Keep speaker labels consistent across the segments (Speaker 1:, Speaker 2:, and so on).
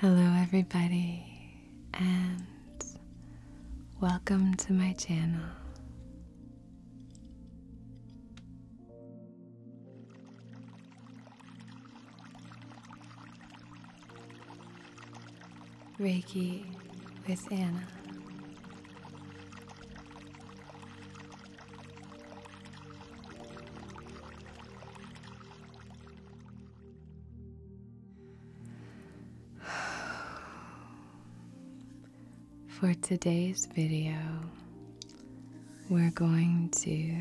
Speaker 1: Hello, everybody, and welcome to my channel. Reiki with Anna. For today's video, we're going to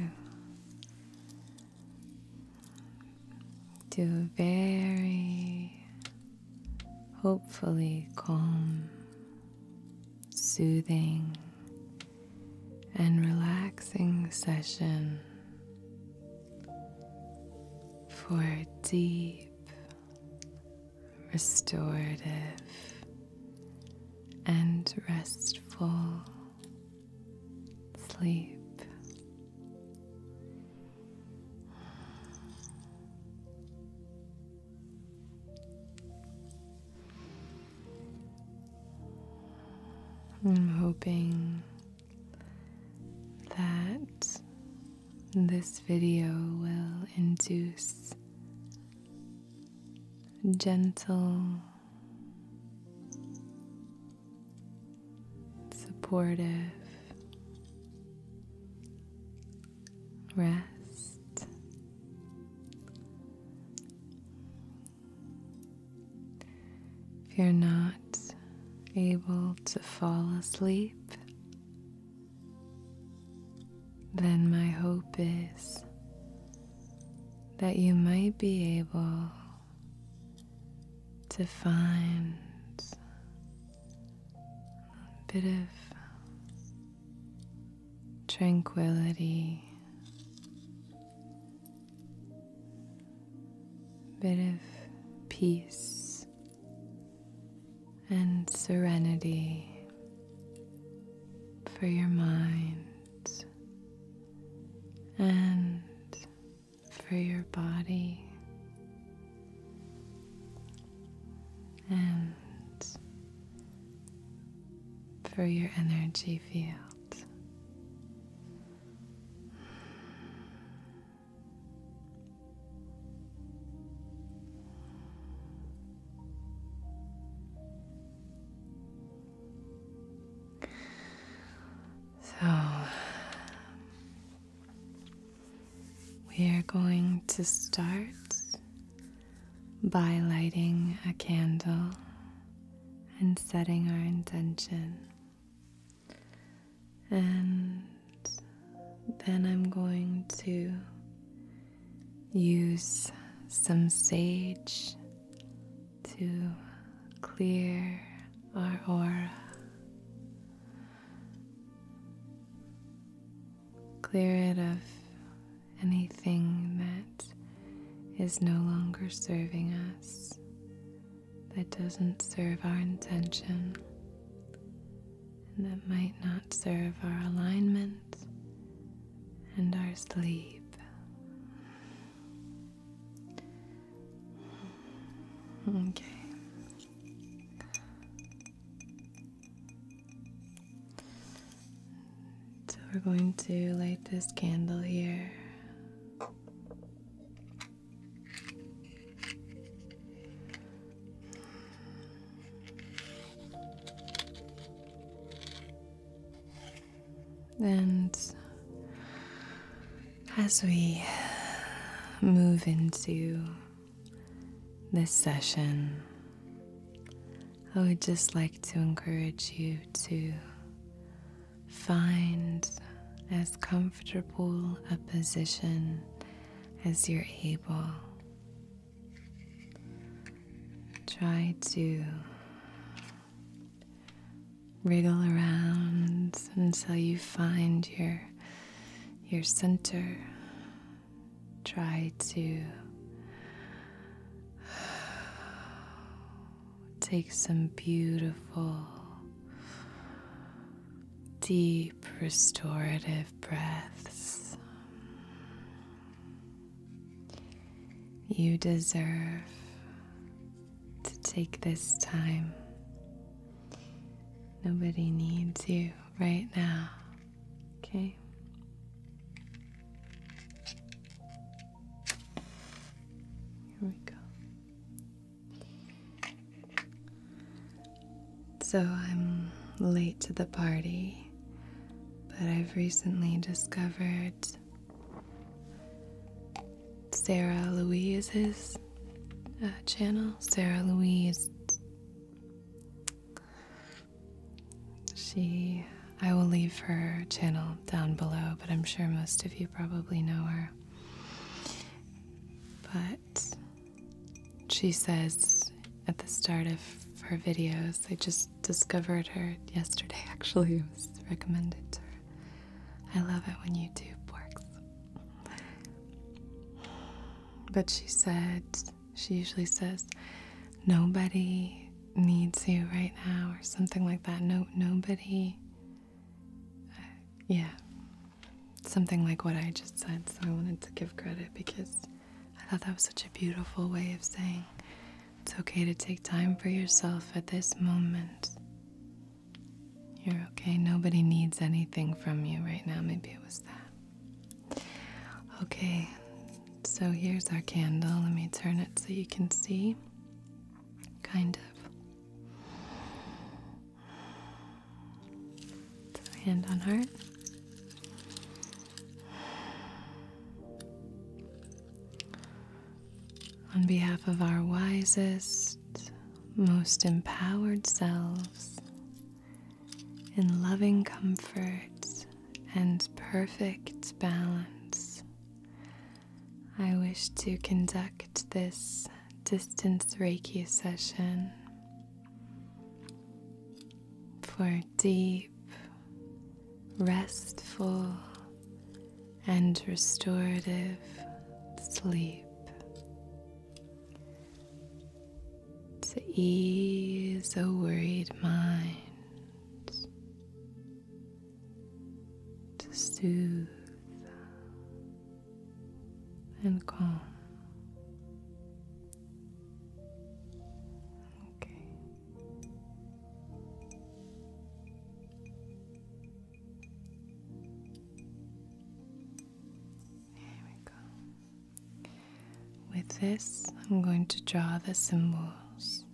Speaker 1: do a very hopefully calm soothing and relaxing session for deep, restorative, and restful sleep. I'm hoping that this video will induce gentle, supportive, rest. If you're not able to fall asleep, then my hope is that you might be able to find a bit of tranquility, bit of peace and serenity for your mind and for your body and for your energy field. So we are going to start by lighting a candle and setting our intention. And then I'm going to use some sage to clear our aura. Clear it of anything that is no longer serving us, that doesn't serve our intention, that might not serve our alignment and our sleep. Okay. So we're going to light this candle here. And as we move into this session, I would just like to encourage you to find as comfortable a position as you're able. Try to wriggle around until you find your your center try to take some beautiful, deep, restorative breaths. You deserve to take this time. Nobody needs you right now. Okay. Here we go. So I'm late to the party, but I've recently discovered Sarah Louise's uh, channel. Sarah Louise she, I will leave her channel down below, but I'm sure most of you probably know her. But she says at the start of her videos, I just discovered her yesterday actually, it was recommended to her. I love it when YouTube works. But she said, she usually says, Nobody needs you right now, or something like that. No, nobody. Uh, yeah. Something like what I just said. So I wanted to give credit because I thought that was such a beautiful way of saying it's okay to take time for yourself at this moment. You're okay. Nobody needs anything from you right now. Maybe it was that. Okay, so here's our candle. Let me turn it so you can see. Kind of. hand on heart. On behalf of our wisest, most empowered selves, in loving comfort, and perfect balance. I wish to conduct this distance Reiki session for deep, restful, and restorative sleep. To ease a worried mind to soothe and calm. Okay. Here we go. With this, I'm going to draw the symbols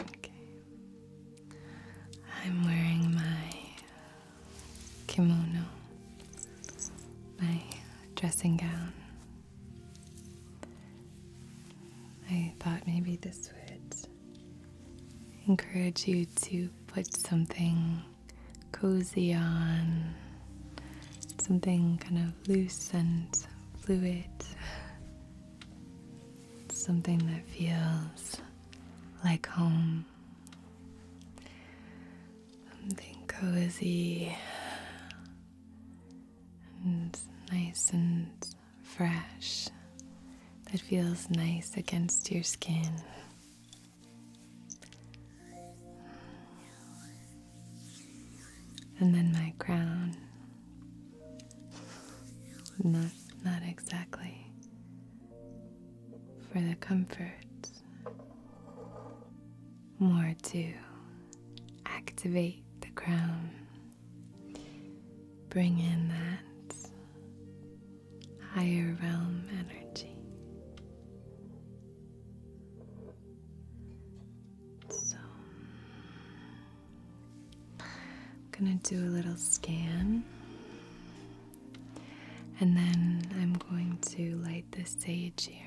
Speaker 1: Okay. I'm wearing my kimono, my dressing gown. I thought maybe this would encourage you to put something cozy on, something kind of loose and fluid something that feels like home, something cozy and nice and fresh that feels nice against your skin. And then my crown. Not, not exactly. For the comfort, more to activate the crown, bring in that higher realm energy. So I'm gonna do a little scan. And then I'm going to light the sage here.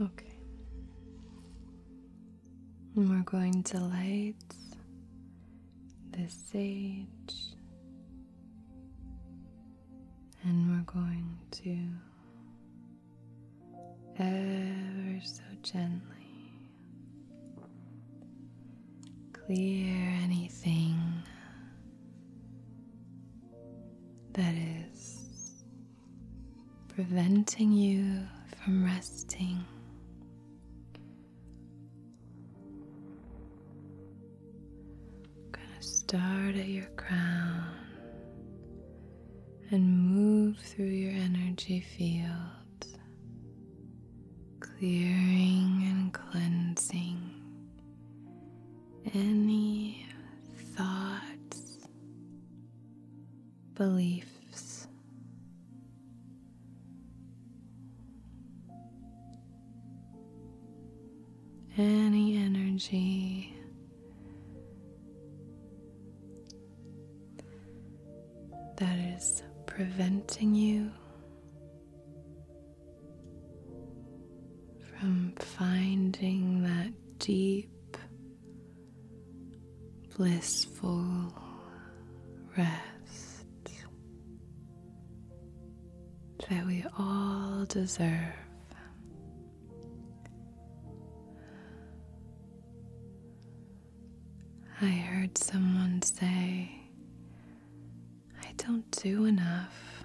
Speaker 1: Okay. And we're going to light the sage, and we're going to ever so gently. Clear anything that is preventing you from resting. I'm gonna start at your crown and move through your energy field, clearing and cleansing any thoughts, beliefs. Any energy that is preventing you from finding that deep, blissful rest that we all deserve. I heard someone say, I don't do enough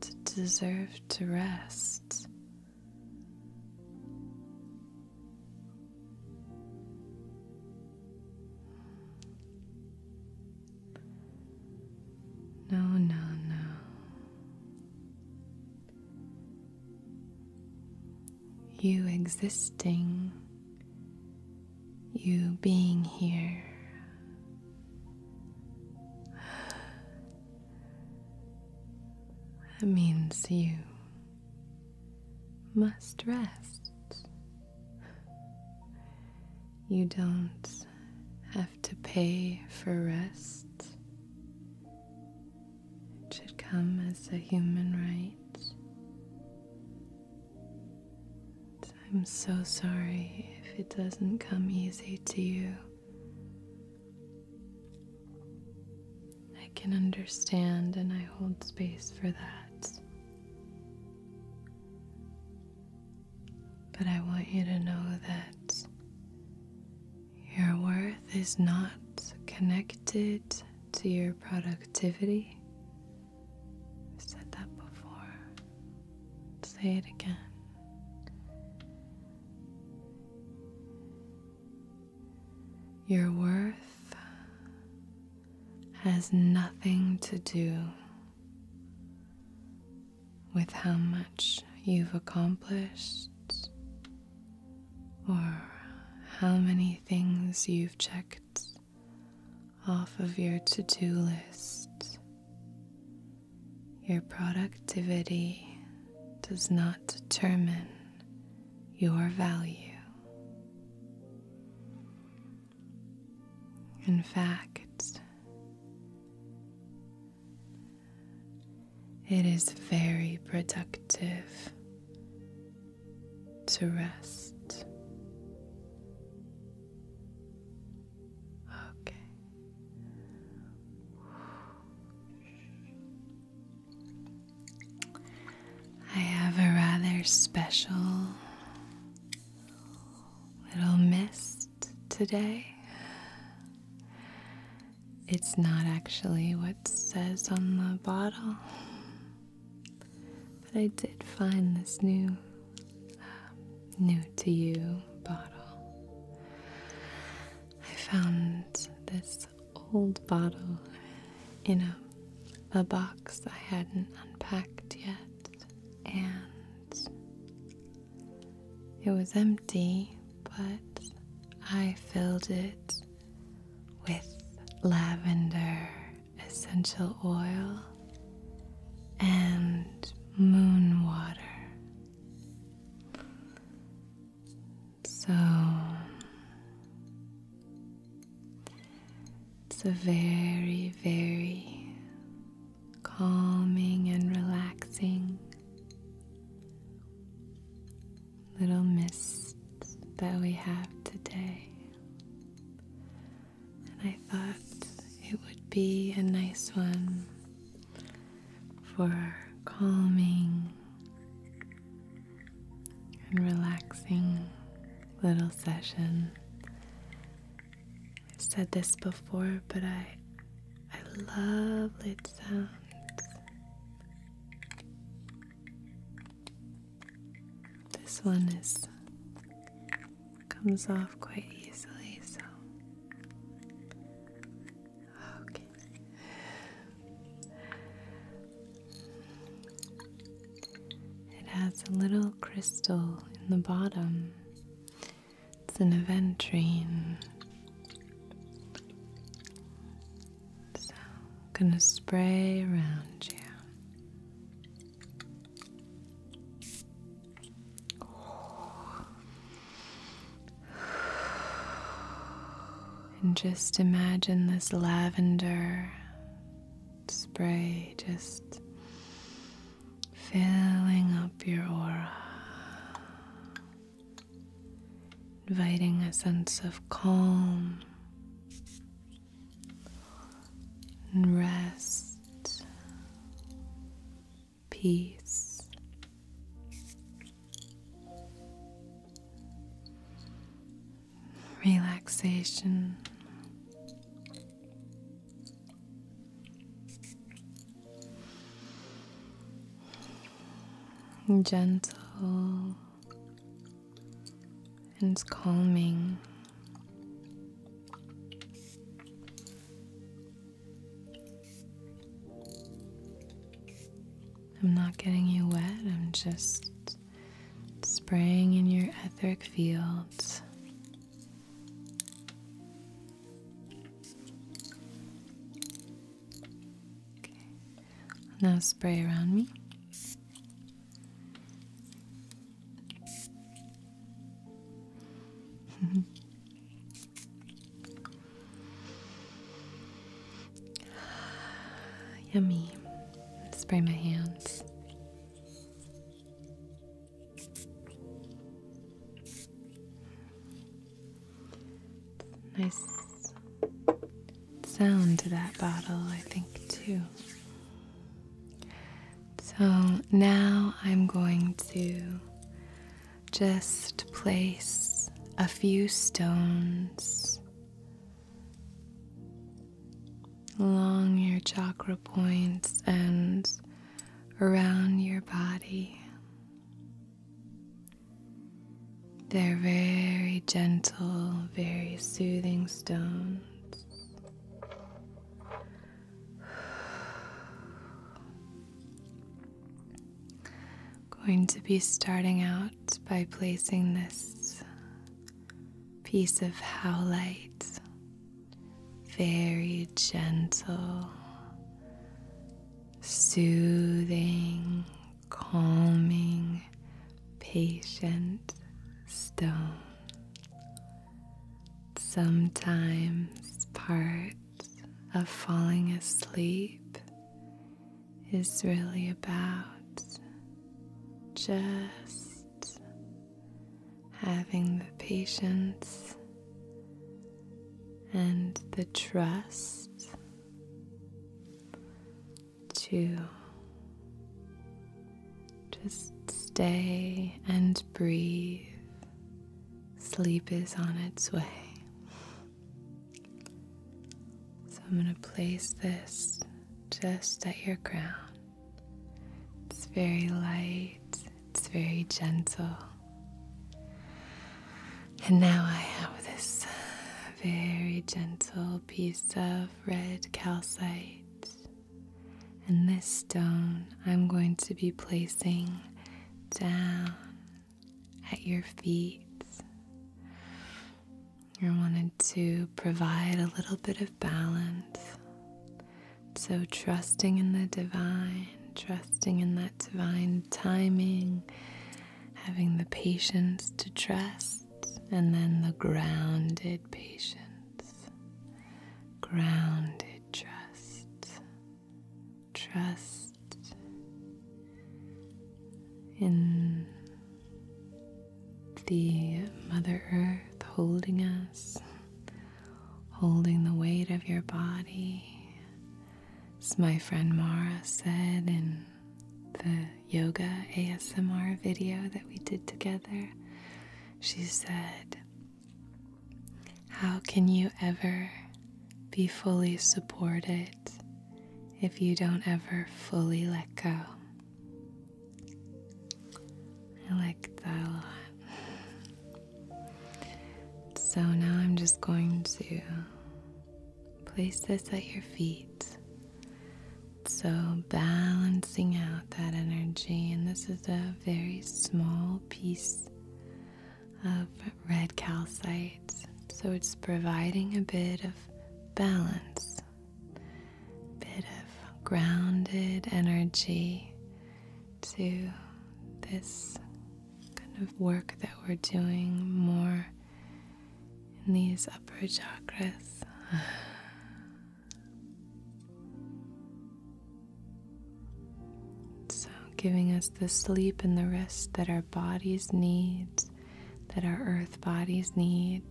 Speaker 1: to deserve to rest. No, no, no you existing, you being here. That means you must rest. You don't have to pay for rest. It should come as a human right. I'm so sorry if it doesn't come easy to you. I can understand and I hold space for that. But I want you to know that your worth is not connected to your productivity. i said that before. Say it again. Your worth has nothing to do with how much you've accomplished or how many things you've checked off of your to do list. Your productivity does not determine your value. In fact, it is very productive to rest. Okay. I have a rather special little mist today. It's not actually what says on the bottle. But I did find this new, uh, new to you bottle. I found this old bottle in a, a box I hadn't unpacked yet, and it was empty, but I filled it with lavender essential oil and moon water. So it's a very, very calming and relaxing little mist that we have today. And I thought it would be a nice one for calming and relaxing little session. I've said this before, but I I love lit sounds. This one is comes off quite easily, so It has a little crystal in the bottom. It's an aventrine. So, I'm going to spray around you. And just imagine this lavender spray just filling up your aura inviting a sense of calm and rest, peace. Relaxation. Gentle and it's calming. I'm not getting you wet, I'm just spraying in your etheric fields. Now spray around me. Yummy. Spray my hands. Nice sound to that bottle, I think, too. So now I'm going to just place a few stones along your chakra points and around your body. They're very gentle, very soothing stones. Going to be starting out by placing this piece of howlite very gentle, soothing calming, patient stone. Sometimes part of falling asleep is really about just having the patience and the trust two. Just stay and breathe. Sleep is on its way. So I'm going to place this just at your crown. It's very light, it's very gentle. And now I have this very gentle piece of red calcite. And this stone I'm going to be placing down at your feet. I wanted to provide a little bit of balance. So, trusting in the divine, trusting in that divine timing, having the patience to trust and then the grounded patience, grounded trust, trust in the Mother Earth holding us, holding the weight of your body. As my friend Mara said in the yoga ASMR video that we did together, she said, How can you ever be fully supported if you don't ever fully let go? I like that a lot. So now I'm just going to Place this at your feet. So, balancing out that energy, and this is a very small piece of red calcite. So, it's providing a bit of balance, bit of grounded energy to this kind of work that we're doing more in these upper chakras. So, giving us the sleep and the rest that our bodies need, that our earth bodies need.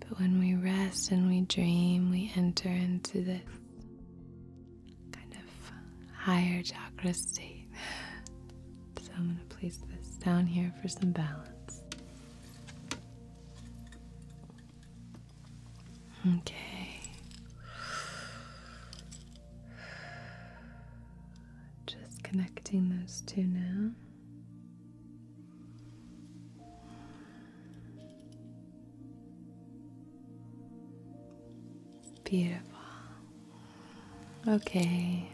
Speaker 1: But when we rest and we dream, we enter into this kind of higher chakra state. So I'm going to place this down here for some balance. Okay. Just connecting those two now. Beautiful. Okay,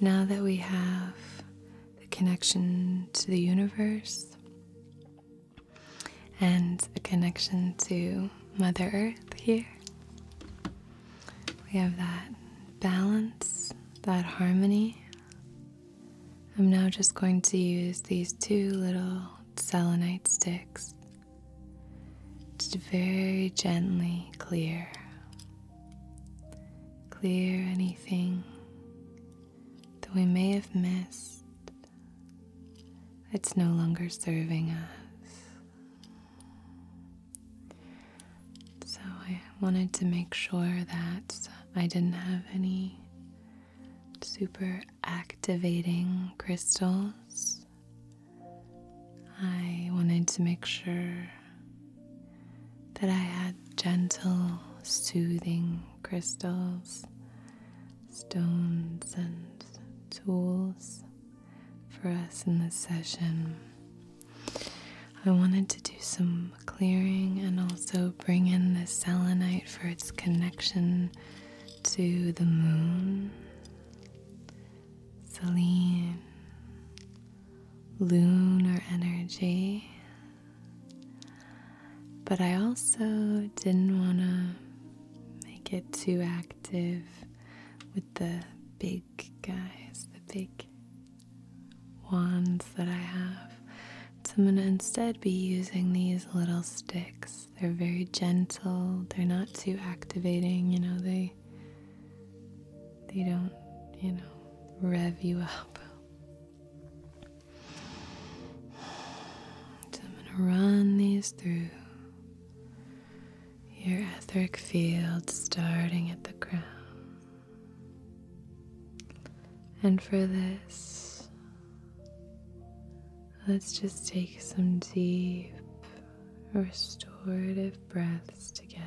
Speaker 1: now that we have the connection to the universe and a connection to Mother Earth here, we have that balance, that harmony. I'm now just going to use these two little selenite sticks to very gently clear Clear anything that we may have missed that's no longer serving us. So I wanted to make sure that I didn't have any super activating crystals. I wanted to make sure that I had gentle, soothing crystals, stones, and tools for us in this session. I wanted to do some clearing and also bring in the selenite for its connection to the moon Selene, lunar energy. But I also didn't want to make it too active with the big guys, the big wands that I have. So I'm going to instead be using these little sticks. They're very gentle, they're not too activating, you know, they they don't, you know, rev you up. I'm gonna run these through your etheric field starting at the crown. And for this, let's just take some deep, restorative breaths together.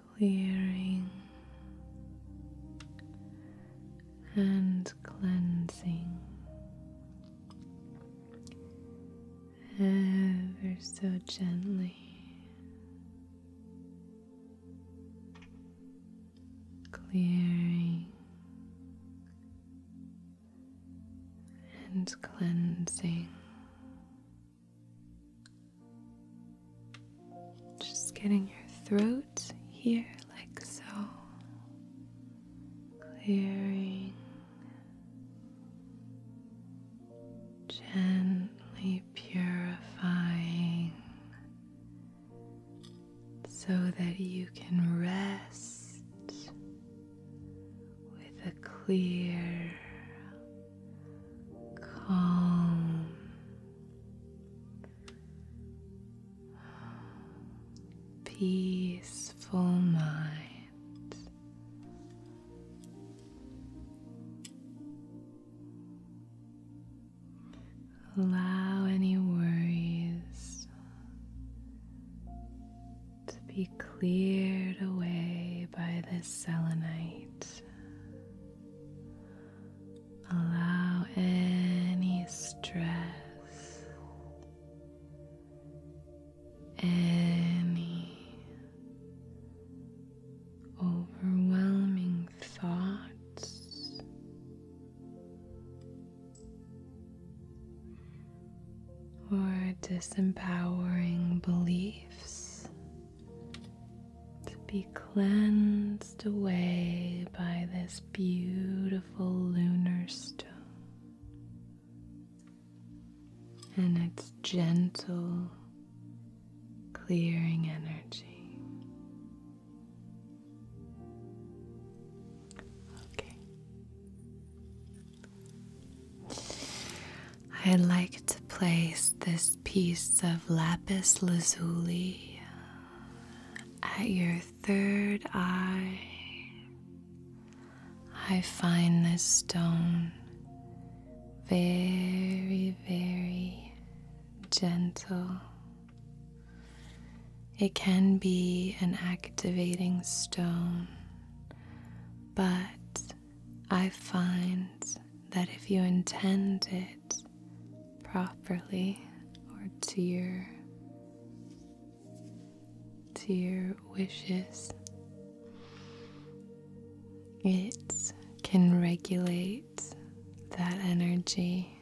Speaker 1: clearing and cleansing ever so gently. Clearing and cleansing just getting your throat here, like so, clearing gently purifying so that you can rest with a clear calm. Peaceful mind. Allow any worries to be cleared away by this selenite. Allow any stress, any overwhelming thoughts or disempowering beliefs to be cleansed away by this beautiful lunar stone and its gentle clearing energy. Okay. I'd like to place this piece of lapis lazuli at your third eye. I find this stone very, very gentle. It can be an activating stone, but I find that if you intend it properly or to your to your wishes, it can regulate that energy.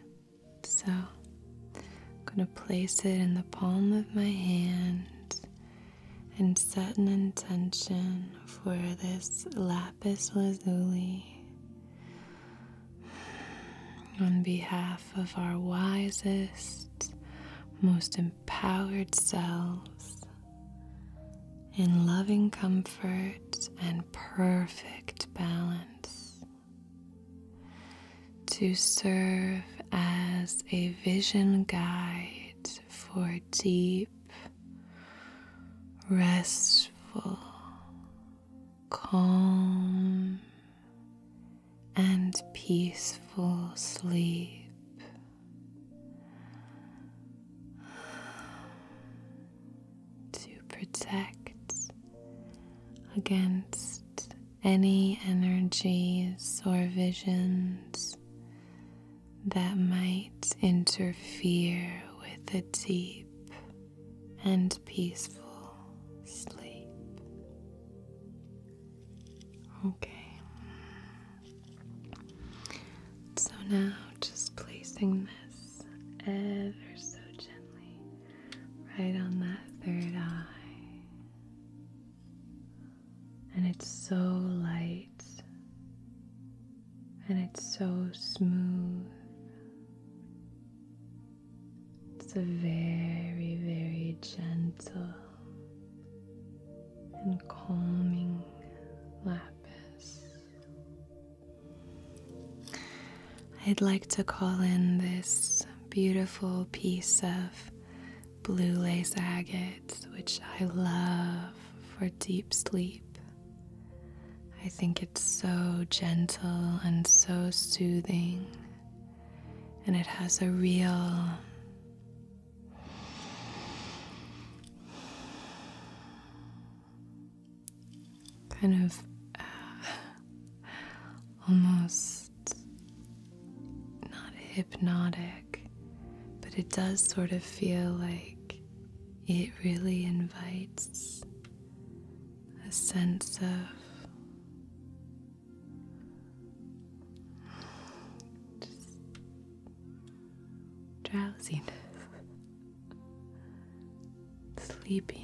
Speaker 1: So I'm going to place it in the palm of my hand and set an intention for this lapis lazuli on behalf of our wisest, most empowered selves in loving comfort and perfect balance to serve as a vision guide for deep, restful, calm, and peaceful sleep. To protect against any energies or visions that might interfere with a deep and peaceful sleep. Okay. So now just placing this ever so gently right on that third eye. And it's so light and it's so smooth. It's a very, very gentle and calming lapis. I'd like to call in this beautiful piece of blue lace agate, which I love for deep sleep. I think it's so gentle and so soothing, and it has a real kind of uh, almost not hypnotic, but it does sort of feel like it really invites a sense of drowsiness, sleepiness.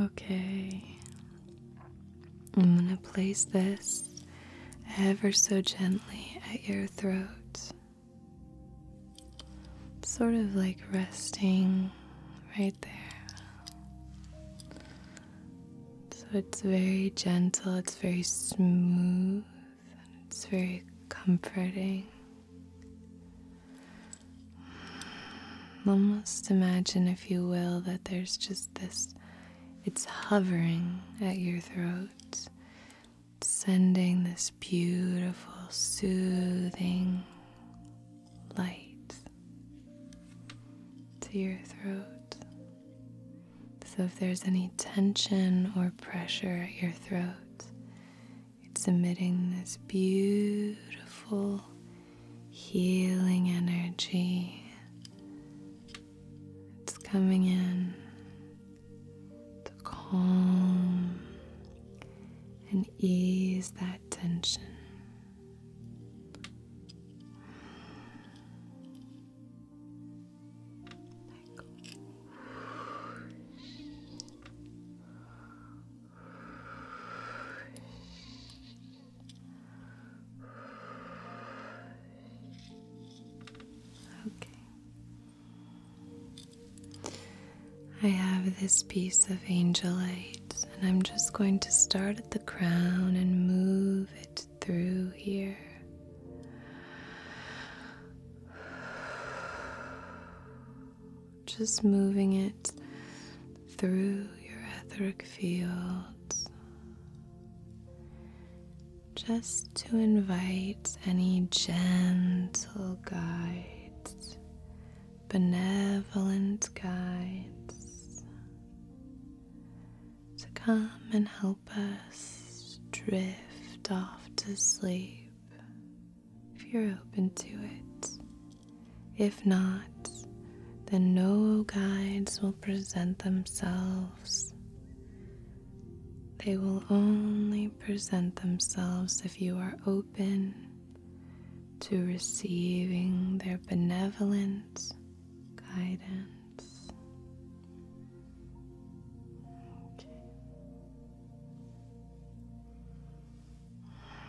Speaker 1: Okay, I'm going to place this ever so gently at your throat, sort of like resting right there. So it's very gentle, it's very smooth, and it's very comforting. Almost imagine, if you will, that there's just this, it's hovering at your throat, sending this beautiful, soothing light to your throat. So if there's any tension or pressure at your throat, it's emitting this beautiful healing energy. It's coming in to calm and ease that tension. Okay. I have this piece of angelite, and I'm just going to start at the crown and move it through here just moving it through your etheric fields, just to invite any gentle guides, benevolent guides, to come and help us drift off to sleep if you're open to it. If not, then no guides will present themselves. They will only present themselves if you are open to receiving their benevolent guidance.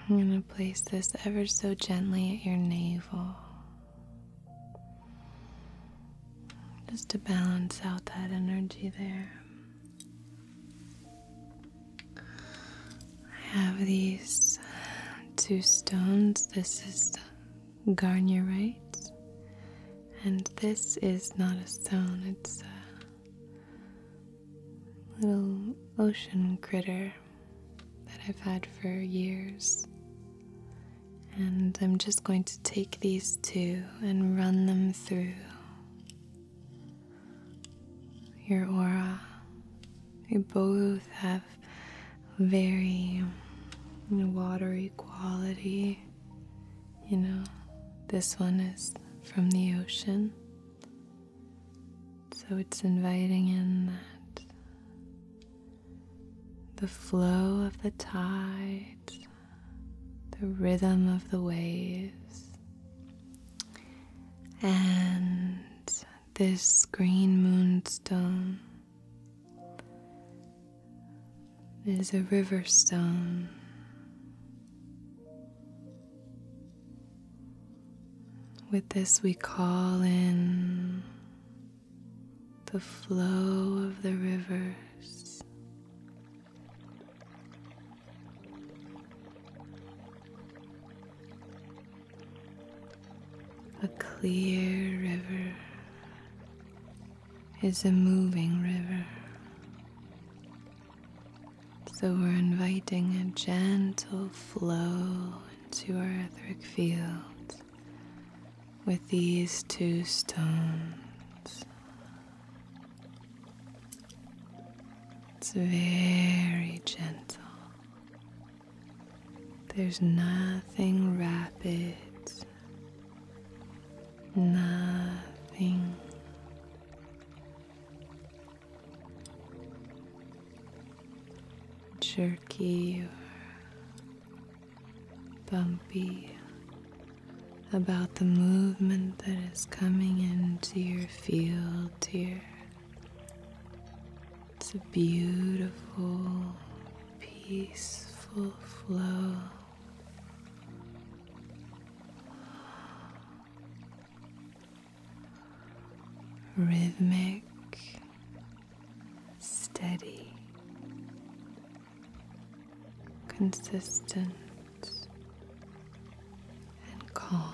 Speaker 1: I'm going to place this ever so gently at your navel. Just to balance out that energy there. I have these two stones. This is garnierite, and this is not a stone, it's a little ocean critter that I've had for years. And I'm just going to take these two and run them through your aura. You both have very watery quality. You know, this one is from the ocean, so it's inviting in that the flow of the tides, the rhythm of the waves, and this green moonstone is a river stone. With this, we call in the flow of the rivers. A clear river is a moving river. So we're inviting a gentle flow into our etheric fields with these two stones. It's very gentle. There's nothing rapid, nothing jerky or bumpy about the movement that is coming into your field dear. It's a beautiful, peaceful flow rhythmic, steady, consistent, and calm.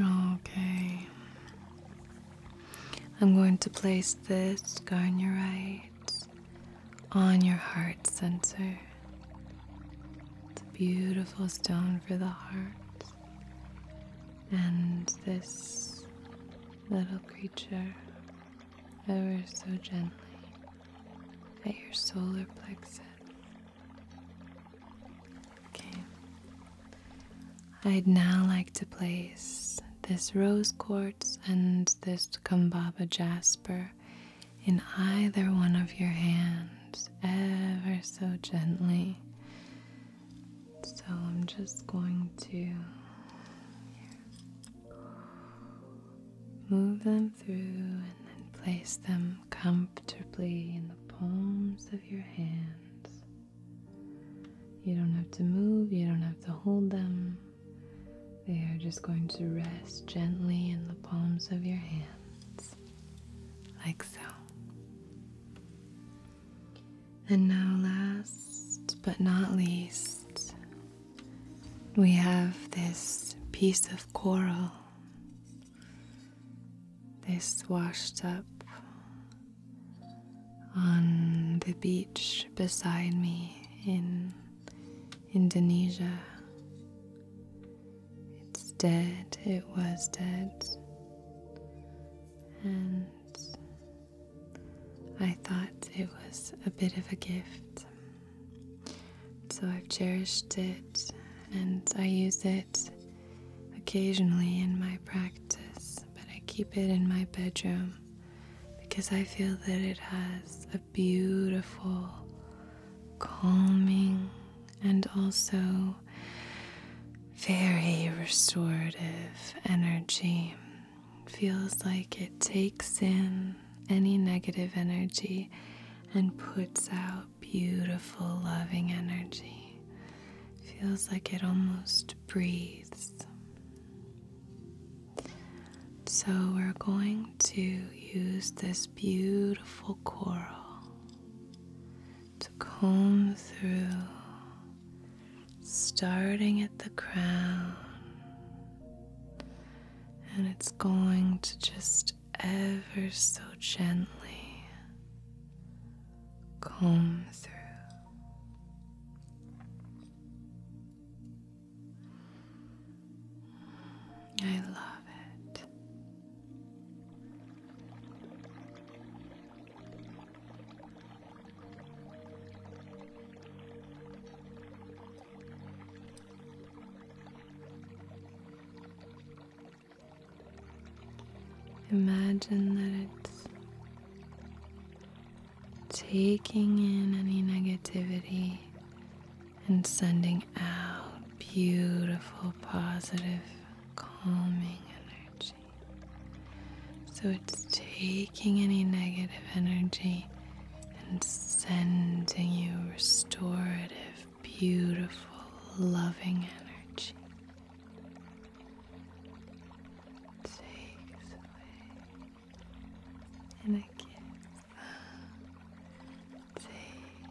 Speaker 1: Okay. I'm going to place this scar on your on your heart sensor. It's a beautiful stone for the heart. And this little creature, ever so gently, at your solar plexus. Okay. I'd now like to place this rose quartz and this kumbaba jasper in either one of your hands, ever so gently. So I'm just going to move them through and then place them comfortably in the palms of your hands. You don't have to move, you don't have to hold them. They are just going to rest gently in the palms of your hands like so. And now, last but not least, we have this piece of coral, this washed up on the beach beside me in Indonesia. It's dead, it was dead. And I thought it was a bit of a gift. So I've cherished it and I use it occasionally in my practice, but I keep it in my bedroom because I feel that it has a beautiful, calming, and also very restorative energy. Feels like it takes in any negative energy and puts out beautiful, loving energy. Feels like it almost breathes. So, we're going to use this beautiful coral to comb through, starting at the crown, and it's going to just ever so gently comb through. I love it. Imagine that it's taking in any negativity and sending out beautiful, positive, calming energy. So it's taking any negative energy and sending you restorative, beautiful, loving energy. It away and it gives. Take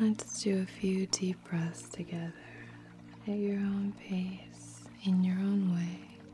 Speaker 1: Let's do a few deep breaths together at your own pace, in your own way.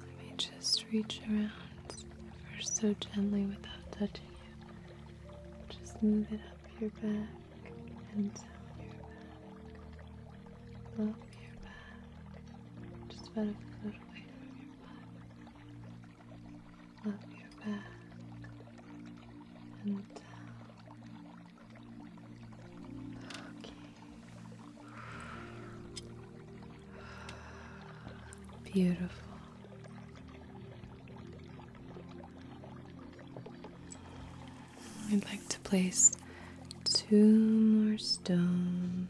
Speaker 1: Let me just reach around first so gently without touching just move it up your back and down your back. Up your back. Just about a foot away from your butt. Up your back and down. Okay. Beautiful. I'd like to place two more stones.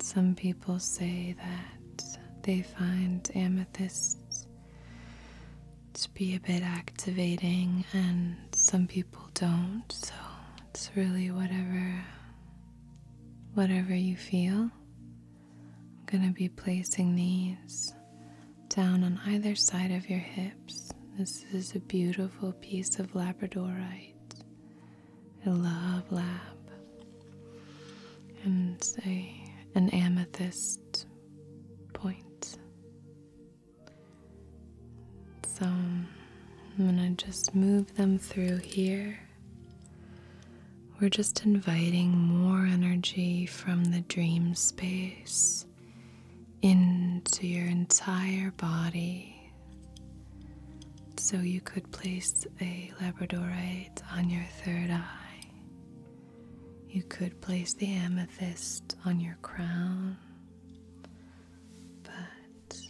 Speaker 1: Some people say that they find amethysts to be a bit activating, and some people don't, so it's really whatever whatever you feel. I'm going to be placing these down on either side of your hips. This is a beautiful piece of labradorite. a love lab. And a, an amethyst point. So I'm going to just move them through here we're just inviting more energy from the dream space into your entire body. So you could place a labradorite on your third eye. You could place the amethyst on your crown. But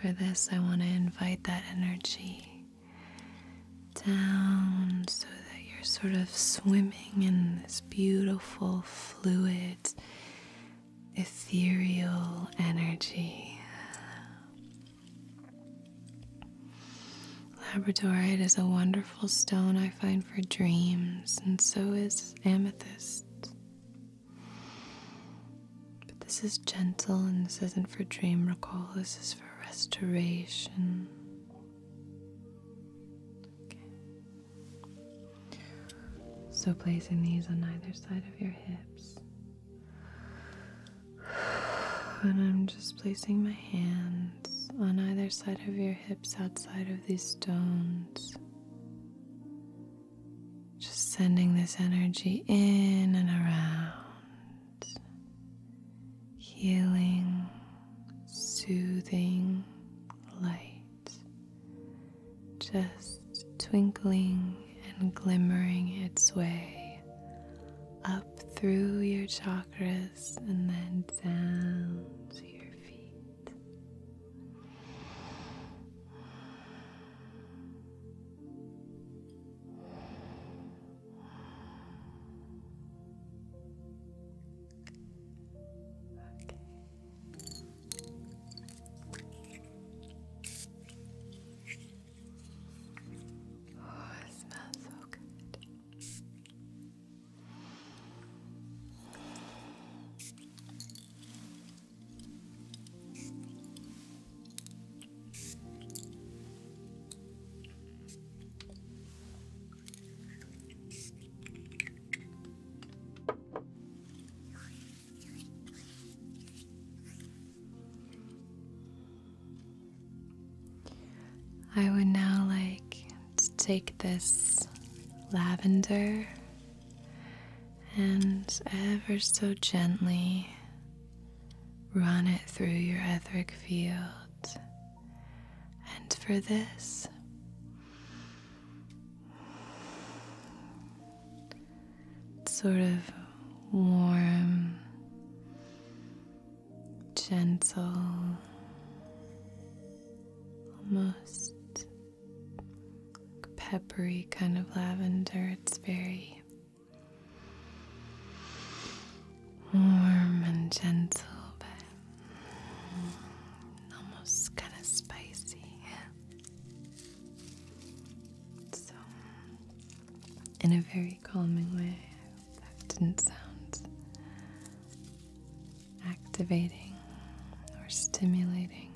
Speaker 1: for this, I want to invite that energy down so that you're sort of swimming in this beautiful, fluid, ethereal energy. Labradorite is a wonderful stone I find for dreams, and so is amethyst. But this is gentle and this isn't for dream recall, this is for restoration. Okay. So, placing these on either side of your hips. And I'm just placing my hands on either side of your hips outside of these stones. Just sending this energy in and around healing, soothing light just twinkling and glimmering its way up through your chakras and then down to your feet. Oh, it smells so good. I would now like to take this lavender and ever so gently Run it through your etheric field. And for this, sort of warm, gentle, almost peppery kind of lavender. It's very warm and gentle, but almost kind of spicy. So, in a very calming way, that didn't sound activating or stimulating.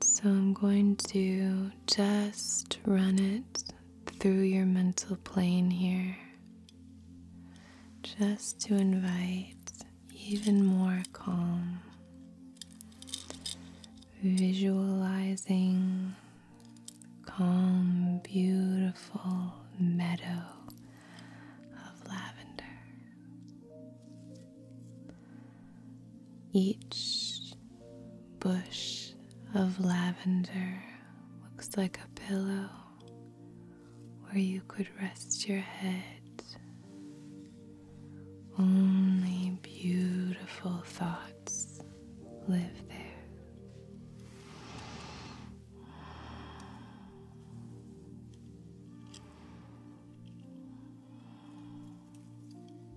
Speaker 1: So, I'm going to just run it through your mental plane here just to invite even more calm. Visualizing calm, beautiful meadow of lavender. Each bush of lavender looks like a pillow where you could rest your head. Only beautiful thoughts live there.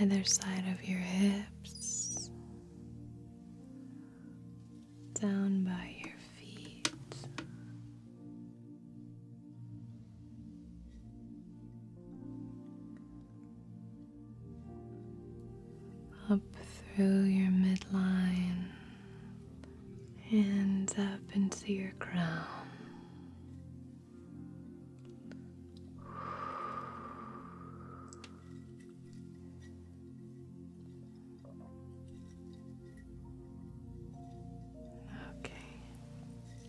Speaker 1: On either side of your hips, down by your feet, up through your midline and up into your crown. Okay.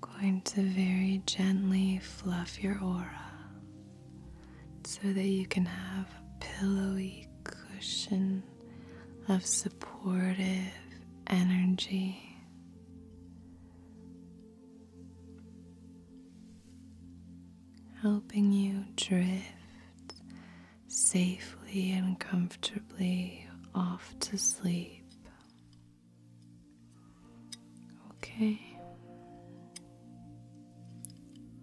Speaker 1: Going to very gently fluff your aura so that you can have a pillowy cushion of supportive energy. Helping you drift safely and comfortably off to sleep. Okay.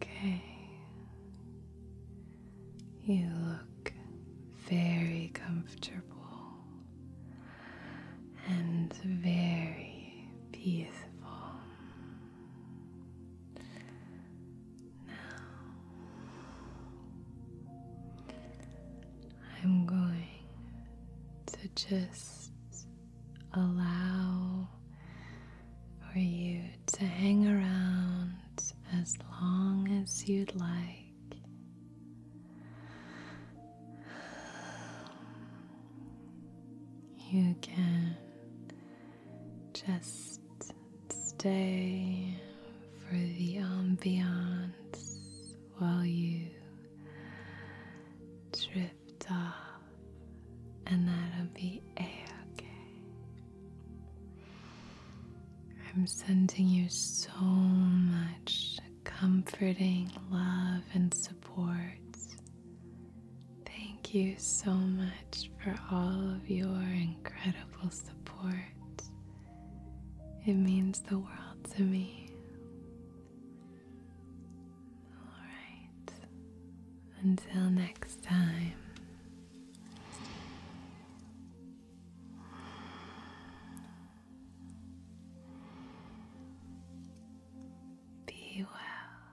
Speaker 1: Okay. You look very comfortable and very peaceful. Now, I'm going to just allow for you to hang around as long as you'd like. You can just stay for the ambiance while you drift off, and that'll be a okay. I'm sending you so much comforting love and support Thank you so much for all of your incredible support. It means the world to me. Alright, until next time. Be well.